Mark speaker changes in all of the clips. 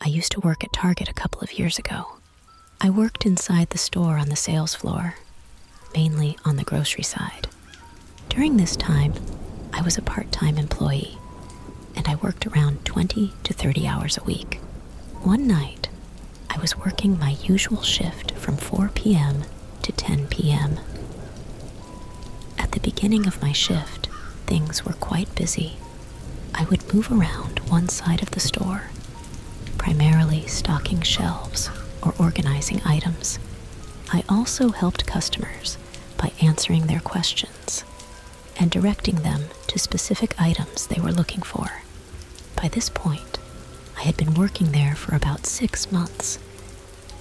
Speaker 1: I used to work at Target a couple of years ago. I worked inside the store on the sales floor, mainly on the grocery side. During this time, I was a part time employee and I worked around 20 to 30 hours a week. One night, I was working my usual shift from 4 p.m. to 10 p.m. At the beginning of my shift, things were quite busy. I would move around one side of the store, primarily stocking shelves or organizing items. I also helped customers by answering their questions and directing them to specific items they were looking for. By this point, I had been working there for about six months,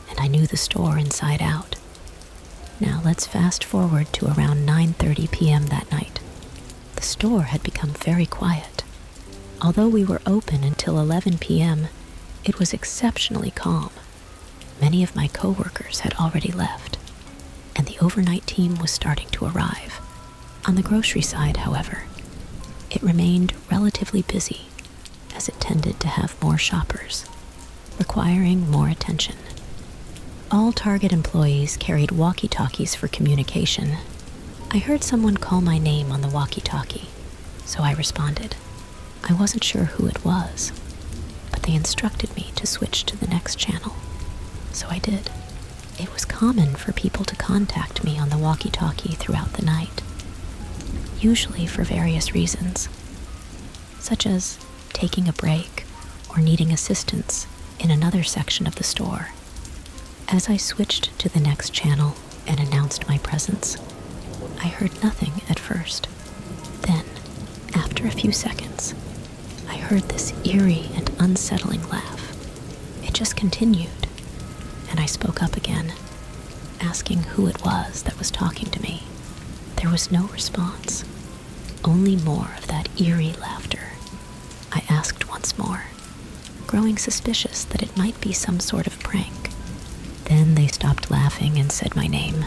Speaker 1: and I knew the store inside out. Now let's fast forward to around 9:30 p.m. that night. The store had become very quiet. Although we were open until 11 p.m., it was exceptionally calm. Many of my coworkers had already left, and the overnight team was starting to arrive. On the grocery side, however, it remained relatively busy as it tended to have more shoppers, requiring more attention. All Target employees carried walkie talkies for communication. I heard someone call my name on the walkie talkie, so I responded. I wasn't sure who it was, but they instructed me to switch to the next channel, so I did. It was common for people to contact me on the walkie talkie throughout the night, usually for various reasons such as taking a break or needing assistance in another section of the store. As I switched to the next channel and announced my presence, I heard nothing at first. Then, after a few seconds, I heard this eerie and unsettling laugh. It just continued, and I spoke up again, asking who it was that was talking to me. There was no response, only more of that eerie laughter. I asked once more, growing suspicious that it might be some sort of prank. Then they stopped laughing and said my name.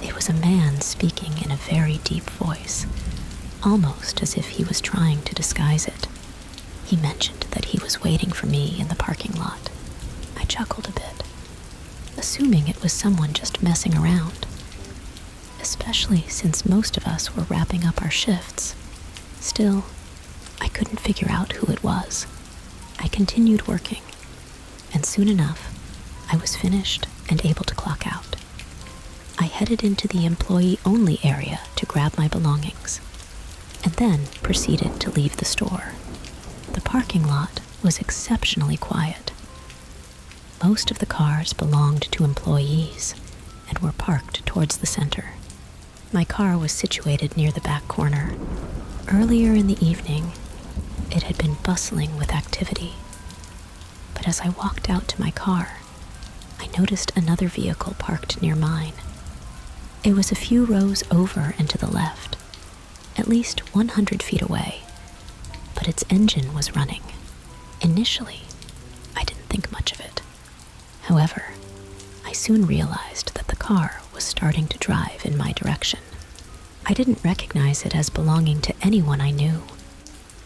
Speaker 1: It was a man speaking in a very deep voice, almost as if he was trying to disguise it. He mentioned that he was waiting for me in the parking lot. I chuckled a bit, assuming it was someone just messing around especially since most of us were wrapping up our shifts. Still, I couldn't figure out who it was. I continued working, and soon enough, I was finished and able to clock out. I headed into the employee only area to grab my belongings, and then proceeded to leave the store. The parking lot was exceptionally quiet. Most of the cars belonged to employees and were parked towards the center. My car was situated near the back corner. Earlier in the evening, it had been bustling with activity. But as I walked out to my car, I noticed another vehicle parked near mine. It was a few rows over and to the left, at least 100 feet away, but its engine was running. Initially, I didn't think much of it. However, I soon realized that the car was starting to drive in my direction. I didn't recognize it as belonging to anyone I knew.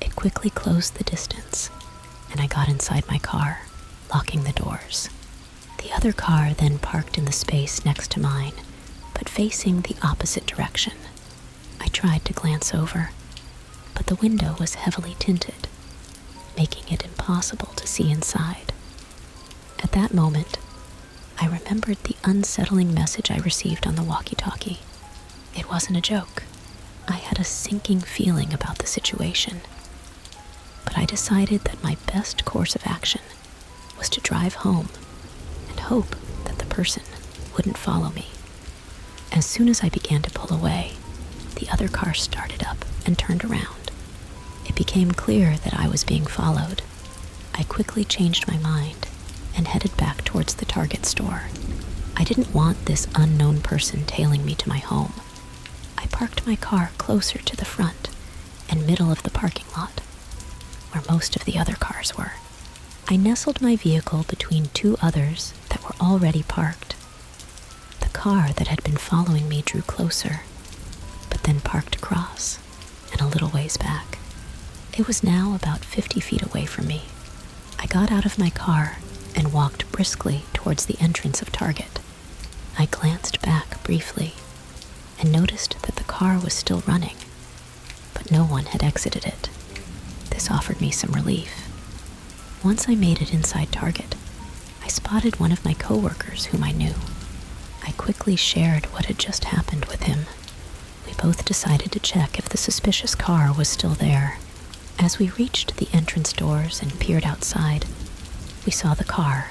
Speaker 1: It quickly closed the distance, and I got inside my car, locking the doors. The other car then parked in the space next to mine, but facing the opposite direction, I tried to glance over, but the window was heavily tinted, making it impossible to see inside. At that moment, I remembered the unsettling message I received on the walkie talkie. It wasn't a joke. I had a sinking feeling about the situation. But I decided that my best course of action was to drive home and hope that the person wouldn't follow me. As soon as I began to pull away, the other car started up and turned around. It became clear that I was being followed. I quickly changed my mind and headed back towards the Target store. I didn't want this unknown person tailing me to my home. I parked my car closer to the front and middle of the parking lot, where most of the other cars were. I nestled my vehicle between two others that were already parked. The car that had been following me drew closer, but then parked across and a little ways back. It was now about 50 feet away from me. I got out of my car and walked briskly towards the entrance of Target. I glanced back briefly and noticed that the car was still running, but no one had exited it. This offered me some relief. Once I made it inside Target, I spotted one of my coworkers whom I knew. I quickly shared what had just happened with him. We both decided to check if the suspicious car was still there. As we reached the entrance doors and peered outside, we saw the car.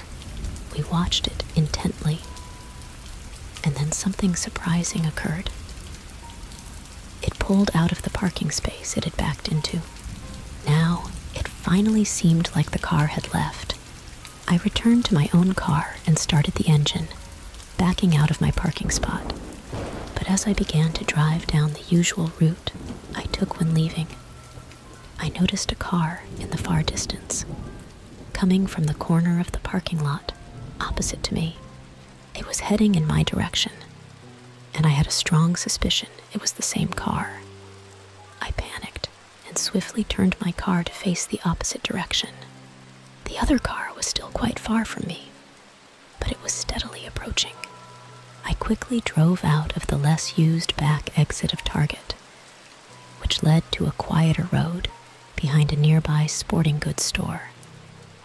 Speaker 1: We watched it intently. And then something surprising occurred. It pulled out of the parking space it had backed into. Now, it finally seemed like the car had left. I returned to my own car and started the engine, backing out of my parking spot. But as I began to drive down the usual route I took when leaving, I noticed a car in the far distance, coming from the corner of the parking lot opposite to me it was heading in my direction, and I had a strong suspicion it was the same car. I panicked and swiftly turned my car to face the opposite direction. The other car was still quite far from me, but it was steadily approaching. I quickly drove out of the less used back exit of Target, which led to a quieter road behind a nearby sporting goods store.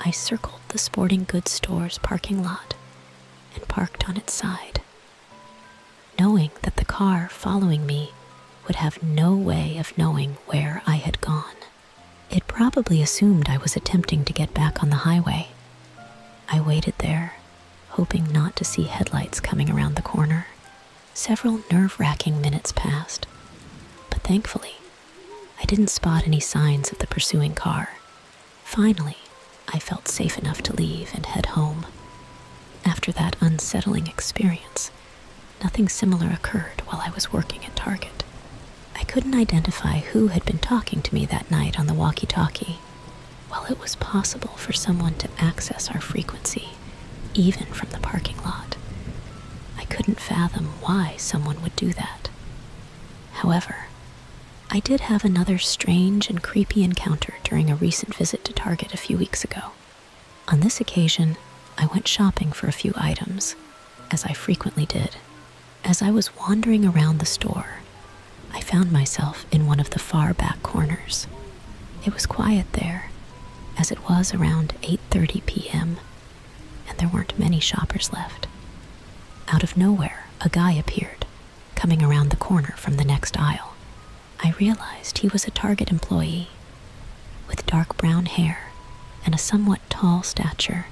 Speaker 1: I circled the sporting goods store's parking lot and parked on its side, knowing that the car following me would have no way of knowing where I had gone. It probably assumed I was attempting to get back on the highway. I waited there, hoping not to see headlights coming around the corner. Several nerve wracking minutes passed, but thankfully, I didn't spot any signs of the pursuing car. Finally, I felt safe enough to leave and head home. After that unsettling experience, nothing similar occurred while I was working at Target. I couldn't identify who had been talking to me that night on the walkie talkie. While it was possible for someone to access our frequency, even from the parking lot, I couldn't fathom why someone would do that. However, I did have another strange and creepy encounter during a recent visit to Target a few weeks ago. On this occasion, I went shopping for a few items, as I frequently did. As I was wandering around the store, I found myself in one of the far back corners. It was quiet there, as it was around 8:30 p.m and there weren't many shoppers left. Out of nowhere, a guy appeared, coming around the corner from the next aisle. I realized he was a Target employee with dark brown hair and a somewhat tall stature,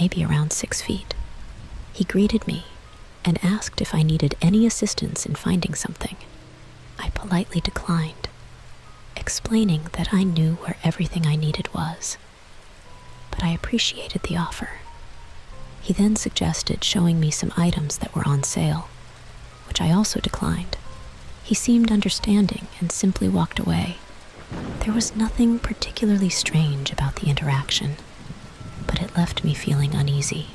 Speaker 1: maybe around six feet. He greeted me and asked if I needed any assistance in finding something. I politely declined explaining that I knew where everything I needed was. But I appreciated the offer. He then suggested showing me some items that were on sale, which I also declined. He seemed understanding and simply walked away. There was nothing particularly strange about the interaction, but it left me feeling uneasy.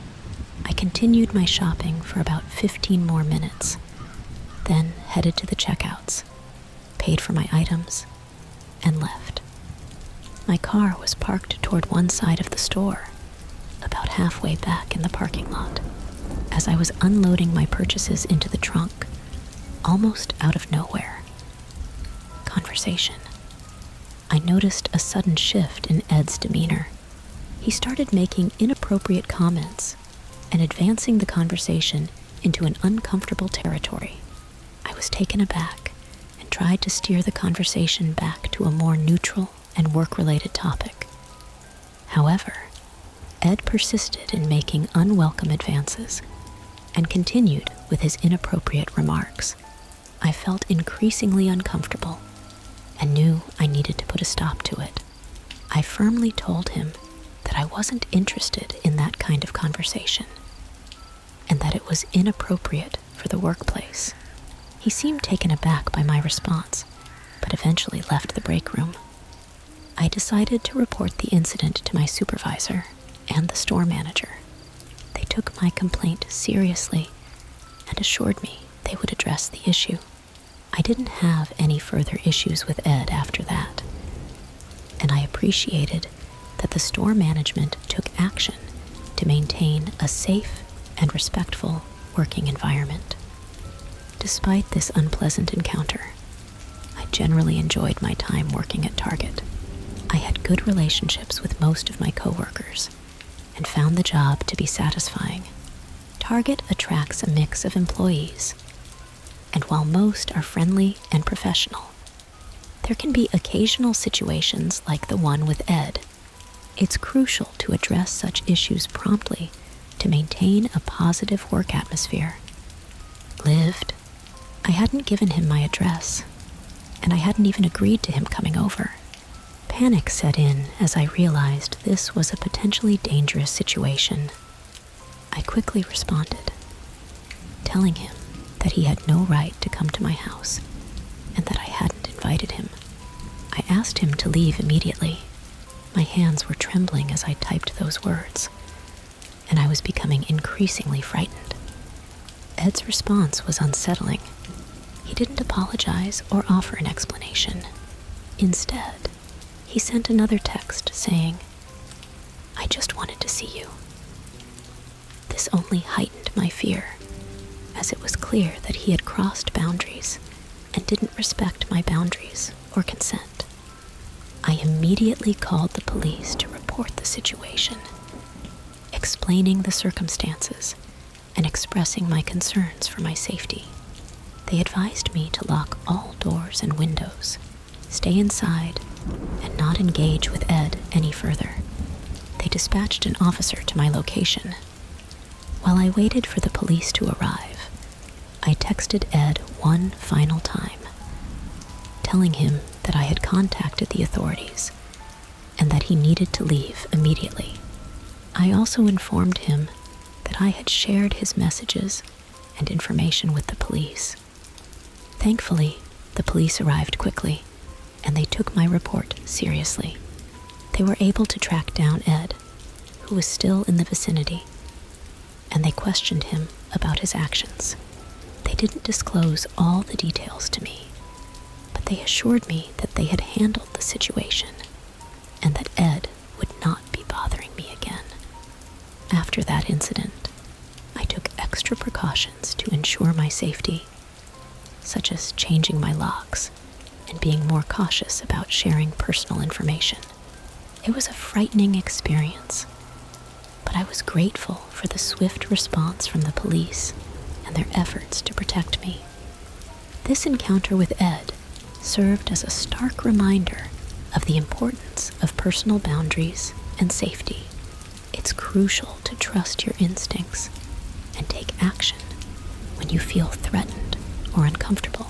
Speaker 1: I continued my shopping for about 15 more minutes then headed to the checkouts, paid for my items, and left. My car was parked toward one side of the store, about halfway back in the parking lot. As I was unloading my purchases into the trunk, almost out of nowhere, conversation. I noticed a sudden shift in Ed's demeanor. He started making inappropriate comments and advancing the conversation into an uncomfortable territory. I was taken aback and tried to steer the conversation back to a more neutral and work related topic. However, Ed persisted in making unwelcome advances and continued with his inappropriate remarks. I felt increasingly uncomfortable and knew I needed to put a stop to it. I firmly told him that I wasn't interested in that kind of conversation and that it was inappropriate for the workplace. He seemed taken aback by my response, but eventually left the break room. I decided to report the incident to my supervisor and the store manager. They took my complaint seriously and assured me they would address the issue. I didn't have any further issues with Ed after that, and I appreciated that the store management took action to maintain a safe and respectful working environment. Despite this unpleasant encounter, I generally enjoyed my time working at Target. I had good relationships with most of my coworkers and found the job to be satisfying. Target attracts a mix of employees and while most are friendly and professional, there can be occasional situations like the one with Ed. It's crucial to address such issues promptly to maintain a positive work atmosphere. Lived. I hadn't given him my address, and I hadn't even agreed to him coming over. Panic set in as I realized this was a potentially dangerous situation. I quickly responded, telling him that he had no right to come to my house and that I hadn't invited him. I asked him to leave immediately. My hands were trembling as I typed those words, and I was becoming increasingly frightened. Ed's response was unsettling. He didn't apologize or offer an explanation. Instead, he sent another text saying, I just wanted to see you. This only heightened my fear, as it was clear that he had crossed boundaries and didn't respect my boundaries or consent. I immediately called the police to report the situation, explaining the circumstances and expressing my concerns for my safety. They advised me to lock all doors and windows, stay inside, and not engage with Ed any further. They dispatched an officer to my location. While I waited for the police to arrive, I texted Ed one final time, telling him that I had contacted the authorities and that he needed to leave immediately. I also informed him that I had shared his messages and information with the police. Thankfully, the police arrived quickly, and they took my report seriously. They were able to track down Ed, who was still in the vicinity, and they questioned him about his actions. They didn't disclose all the details to me, but they assured me that they had handled the situation and that Ed would not be bothering me again. After that incident, I took extra precautions to ensure my safety, such as changing my locks and being more cautious about sharing personal information. It was a frightening experience, but I was grateful for the swift response from the police and their efforts to protect me. This encounter with Ed served as a stark reminder of the importance of personal boundaries and safety. It's crucial to trust your instincts and take action when you feel threatened or uncomfortable,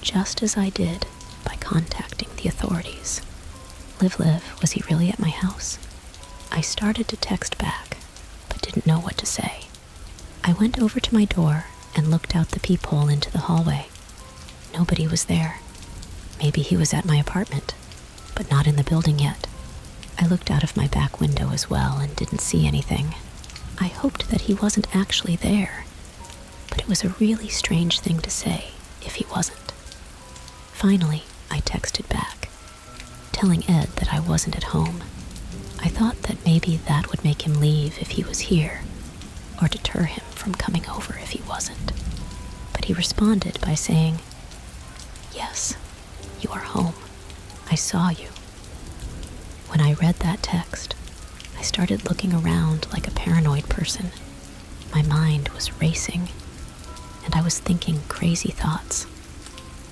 Speaker 1: just as I did by contacting the authorities. Live Live, was he really at my house? I started to text back, but didn't know what to say. I went over to my door and looked out the peephole into the hallway. Nobody was there. Maybe he was at my apartment, but not in the building yet. I looked out of my back window as well and didn't see anything. I hoped that he wasn't actually there, but it was a really strange thing to say if he wasn't. Finally, I texted back, telling Ed that I wasn't at home. I thought that maybe that would make him leave if he was here, or deter him from coming over if he wasn't. But he responded by saying, Yes, you are home. I saw you. When I read that text, I started looking around like a paranoid person. My mind was racing, and I was thinking crazy thoughts.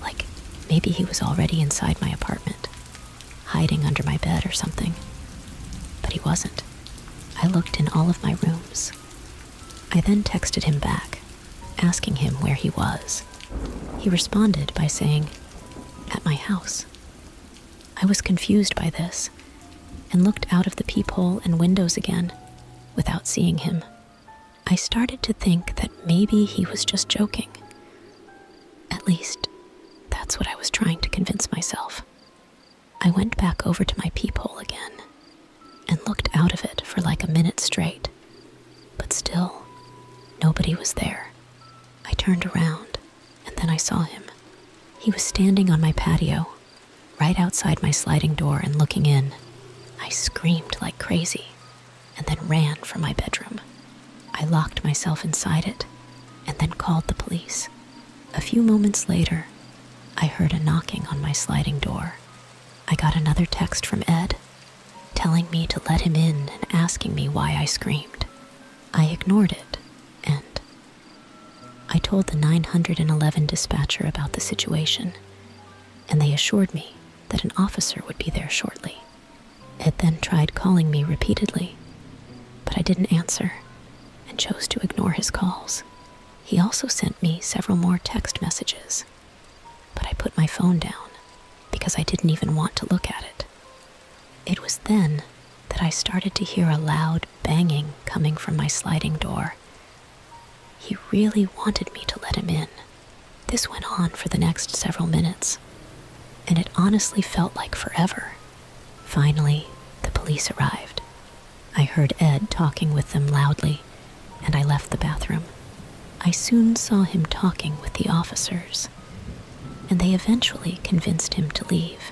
Speaker 1: Like maybe he was already inside my apartment, hiding under my bed or something. But he wasn't. I looked in all of my rooms. I then texted him back, asking him where he was. He responded by saying, At my house. I was confused by this and looked out of the peephole and windows again without seeing him. I started to think that maybe he was just joking, at least, that's what I was trying to convince myself. I went back over to my peephole again and looked out of it for like a minute straight, but still, nobody was there. I turned around and then I saw him. He was standing on my patio, right outside my sliding door and looking in. I screamed like crazy and then ran for my bedroom. I locked myself inside it and then called the police. A few moments later, I heard a knocking on my sliding door. I got another text from Ed telling me to let him in and asking me why I screamed. I ignored it and I told the 911 dispatcher about the situation, and they assured me that an officer would be there shortly. It then tried calling me repeatedly, but I didn't answer and chose to ignore his calls. He also sent me several more text messages, but I put my phone down because I didn't even want to look at it. It was then that I started to hear a loud banging coming from my sliding door. He really wanted me to let him in. This went on for the next several minutes, and it honestly felt like forever. Finally, the police arrived. I heard Ed talking with them loudly, and I left the bathroom. I soon saw him talking with the officers, and they eventually convinced him to leave.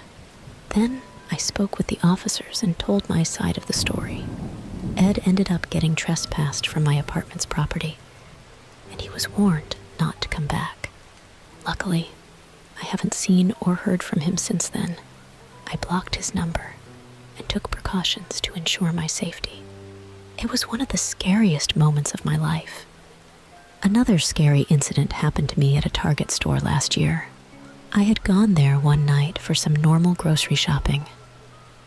Speaker 1: Then I spoke with the officers and told my side of the story. Ed ended up getting trespassed from my apartment's property, and he was warned not to come back. Luckily, I haven't seen or heard from him since then. I blocked his number and took precautions to ensure my safety. It was one of the scariest moments of my life. Another scary incident happened to me at a Target store last year. I had gone there one night for some normal grocery shopping.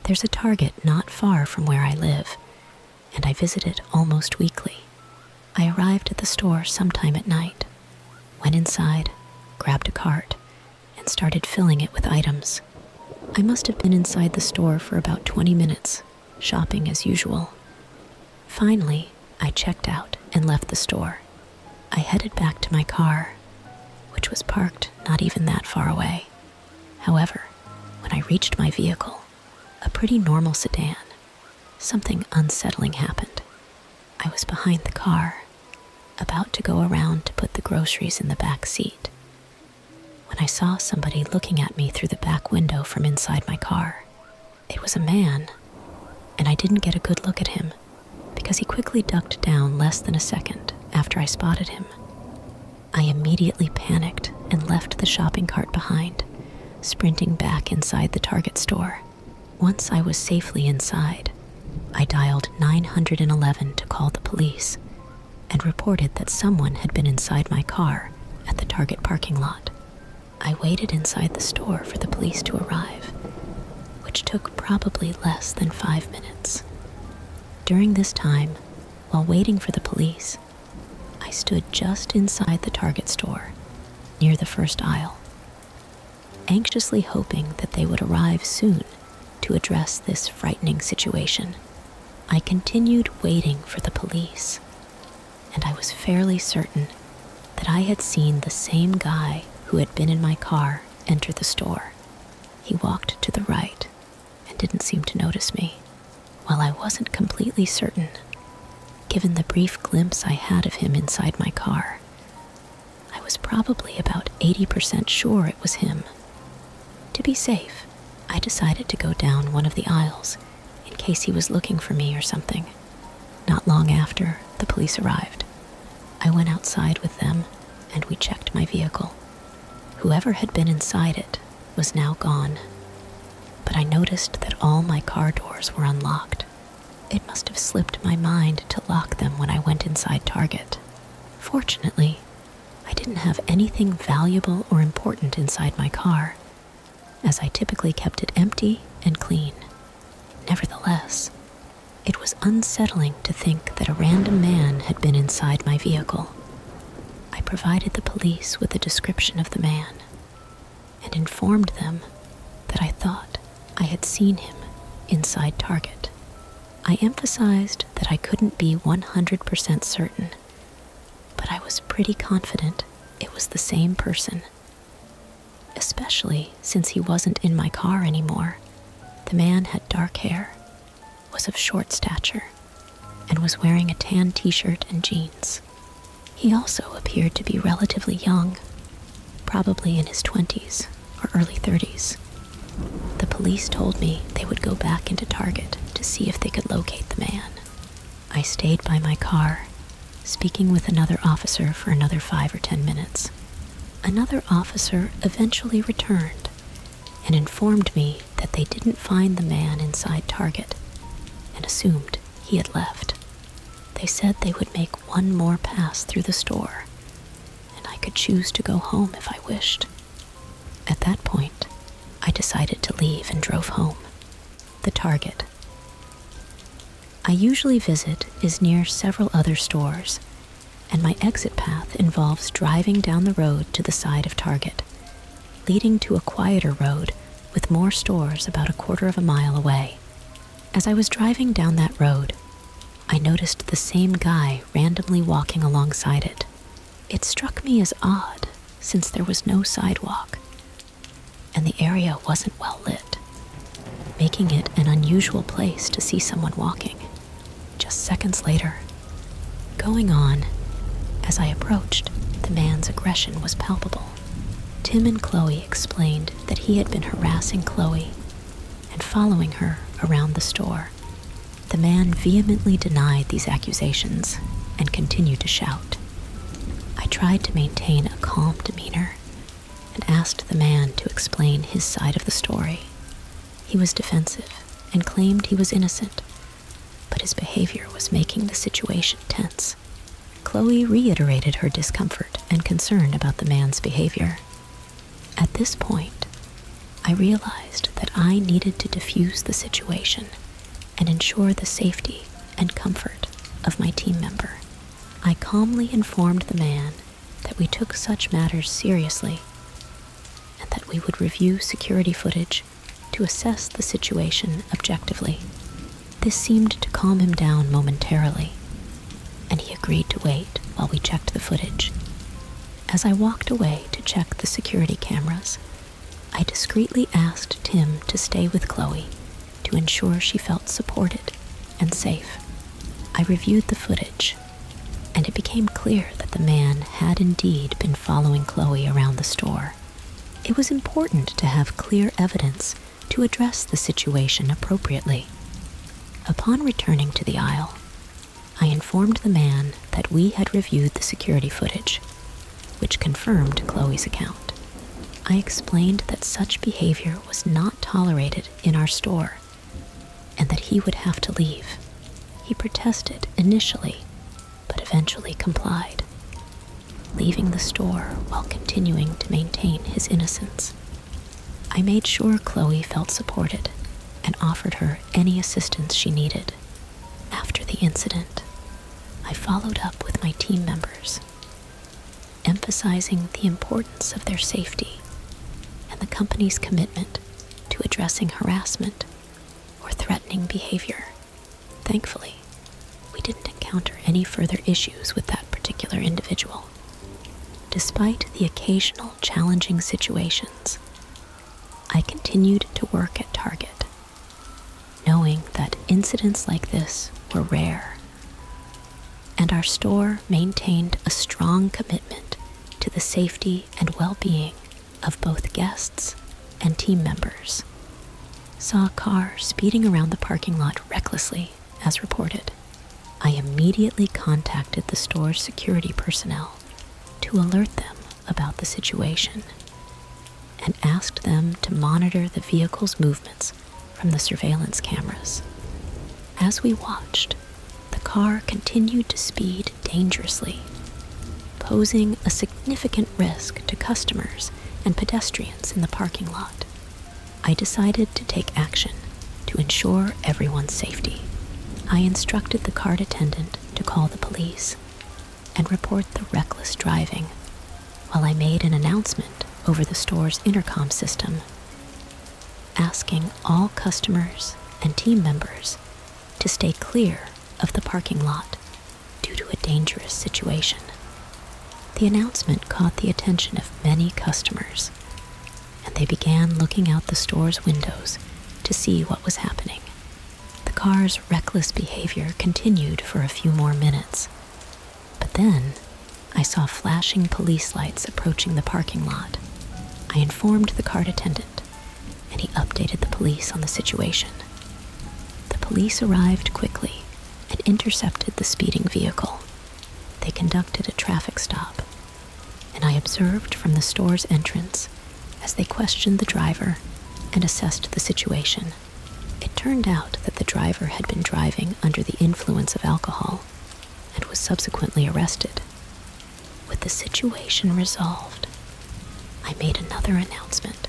Speaker 1: There's a Target not far from where I live, and I visited almost weekly. I arrived at the store sometime at night, went inside, grabbed a cart, and started filling it with items. I must have been inside the store for about 20 minutes, shopping as usual. Finally, I checked out and left the store. I headed back to my car, which was parked not even that far away. However, when I reached my vehicle, a pretty normal sedan. Something unsettling happened. I was behind the car, about to go around to put the groceries in the back seat, when I saw somebody looking at me through the back window from inside my car. It was a man, and I didn't get a good look at him because he quickly ducked down less than a second after I spotted him. I immediately panicked and left the shopping cart behind sprinting back inside the Target store. Once I was safely inside, I dialed 911 to call the police and reported that someone had been inside my car at the Target parking lot. I waited inside the store for the police to arrive, which took probably less than five minutes. During this time, while waiting for the police, I stood just inside the Target store, near the first aisle, anxiously hoping that they would arrive soon to address this frightening situation. I continued waiting for the police, and I was fairly certain that I had seen the same guy who had been in my car enter the store. He walked to the right and didn't seem to notice me. While I wasn't completely certain, given the brief glimpse I had of him inside my car, I was probably about 80% sure it was him. To be safe, I decided to go down one of the aisles in case he was looking for me or something. Not long after, the police arrived. I went outside with them and we checked my vehicle. Whoever had been inside it was now gone, but I noticed that all my car doors were unlocked. It must have slipped my mind to lock them when I went inside Target. Fortunately, I didn't have anything valuable or important inside my car, as I typically kept it empty and clean. Nevertheless, it was unsettling to think that a random man had been inside my vehicle. I provided the police with a description of the man and informed them that I thought I had seen him inside Target. I emphasized that I couldn't be 100% certain, but I was pretty confident it was the same person, especially since he wasn't in my car anymore. The man had dark hair, was of short stature, and was wearing a tan t shirt and jeans. He also appeared to be relatively young, probably in his 20s or early 30s. The police told me they would go back into Target to see if they could locate the man. I stayed by my car, speaking with another officer for another five or ten minutes. Another officer eventually returned and informed me that they didn't find the man inside Target and assumed he had left. They said they would make one more pass through the store, and I could choose to go home if I wished. At that point, I decided to leave and drove home. The Target I usually visit is near several other stores, and my exit path involves driving down the road to the side of Target leading to a quieter road with more stores about a quarter of a mile away. As I was driving down that road, I noticed the same guy randomly walking alongside it. It struck me as odd since there was no sidewalk, and the area wasn't well lit, making it an unusual place to see someone walking. Just seconds later, Going on, as I approached, the man's aggression was palpable. Tim and Chloe explained that he had been harassing Chloe and following her around the store. The man vehemently denied these accusations and continued to shout. I tried to maintain a calm demeanor and asked the man to explain his side of the story. He was defensive and claimed he was innocent but his behavior was making the situation tense. Chloe reiterated her discomfort and concern about the man's behavior. At this point, I realized that I needed to diffuse the situation and ensure the safety and comfort of my team member. I calmly informed the man that we took such matters seriously and that we would review security footage to assess the situation objectively. This seemed to calm him down momentarily, and he agreed to wait while we checked the footage. As I walked away to check the security cameras, I discreetly asked Tim to stay with Chloe to ensure she felt supported and safe. I reviewed the footage, and it became clear that the man had indeed been following Chloe around the store it was important to have clear evidence to address the situation appropriately. Upon returning to the aisle, I informed the man that we had reviewed the security footage, which confirmed Chloe's account. I explained that such behavior was not tolerated in our store and that he would have to leave. He protested initially, but eventually complied, leaving the store while continuing to maintain his innocence. I made sure Chloe felt supported and offered her any assistance she needed. After the incident, I followed up with my team members, emphasizing the importance of their safety and the company's commitment to addressing harassment or threatening behavior. Thankfully, we didn't encounter any further issues with that particular individual, despite the occasional challenging situations. I continued to work at Target, knowing that incidents like this were rare, and our store maintained a strong commitment to the safety and well being of both guests and team members, saw a car speeding around the parking lot recklessly, as reported. I immediately contacted the store's security personnel to alert them about the situation and asked them to monitor the vehicle's movements from the surveillance cameras. As we watched, the car continued to speed dangerously, posing a significant risk to customers and pedestrians in the parking lot. I decided to take action to ensure everyone's safety. I instructed the card attendant to call the police and report the reckless driving while I made an announcement over the store's intercom system asking all customers and team members to stay clear of the parking lot due to a dangerous situation. The announcement caught the attention of many customers, and they began looking out the store's windows to see what was happening. The car's reckless behavior continued for a few more minutes, but then I saw flashing police lights approaching the parking lot. I informed the cart attendant and he updated the police on the situation. The police arrived quickly and intercepted the speeding vehicle. They conducted a traffic stop, and I observed from the store's entrance as they questioned the driver and assessed the situation. It turned out that the driver had been driving under the influence of alcohol and was subsequently arrested. With the situation resolved, I made another announcement,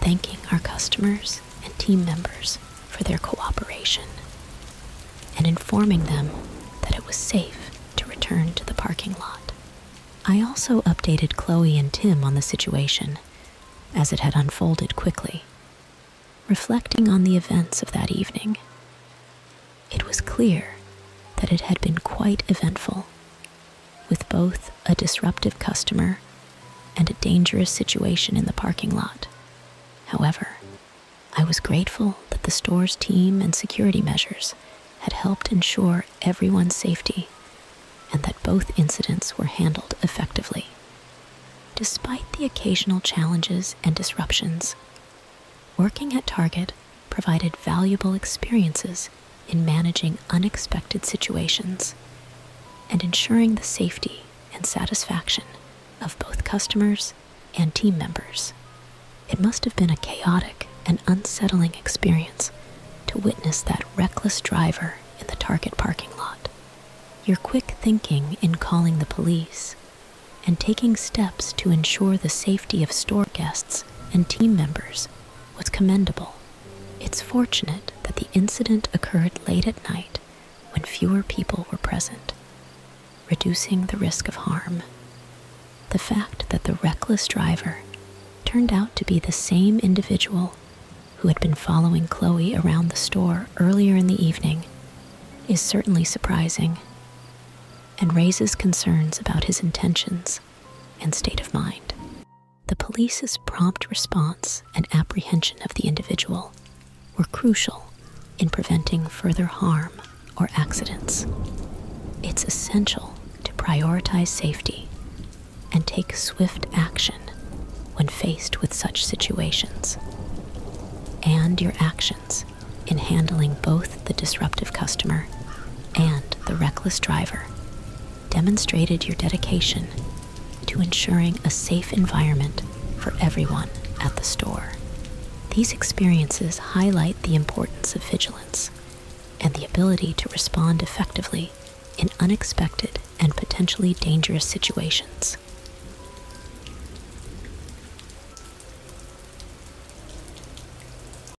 Speaker 1: thanking our customers and team members for their cooperation and informing them that it was safe to return to the parking lot. I also updated Chloe and Tim on the situation as it had unfolded quickly. Reflecting on the events of that evening, it was clear that it had been quite eventful with both a disruptive customer and a dangerous situation in the parking lot. However, I was grateful that the store's team and security measures had helped ensure everyone's safety and that both incidents were handled effectively. Despite the occasional challenges and disruptions, working at Target provided valuable experiences in managing unexpected situations and ensuring the safety and satisfaction of both customers and team members. It must have been a chaotic and unsettling experience to witness that reckless driver in the Target parking lot. Your quick thinking in calling the police and taking steps to ensure the safety of store guests and team members was commendable. It's fortunate that the incident occurred late at night when fewer people were present, reducing the risk of harm. The fact that the reckless driver turned out to be the same individual who had been following Chloe around the store earlier in the evening is certainly surprising and raises concerns about his intentions and state of mind. The police's prompt response and apprehension of the individual were crucial in preventing further harm or accidents. It's essential to prioritize safety and take swift action when faced with such situations. And your actions in handling both the disruptive customer and the reckless driver demonstrated your dedication to ensuring a safe environment for everyone at the store. These experiences highlight the importance of vigilance and the ability to respond effectively in unexpected and potentially dangerous situations.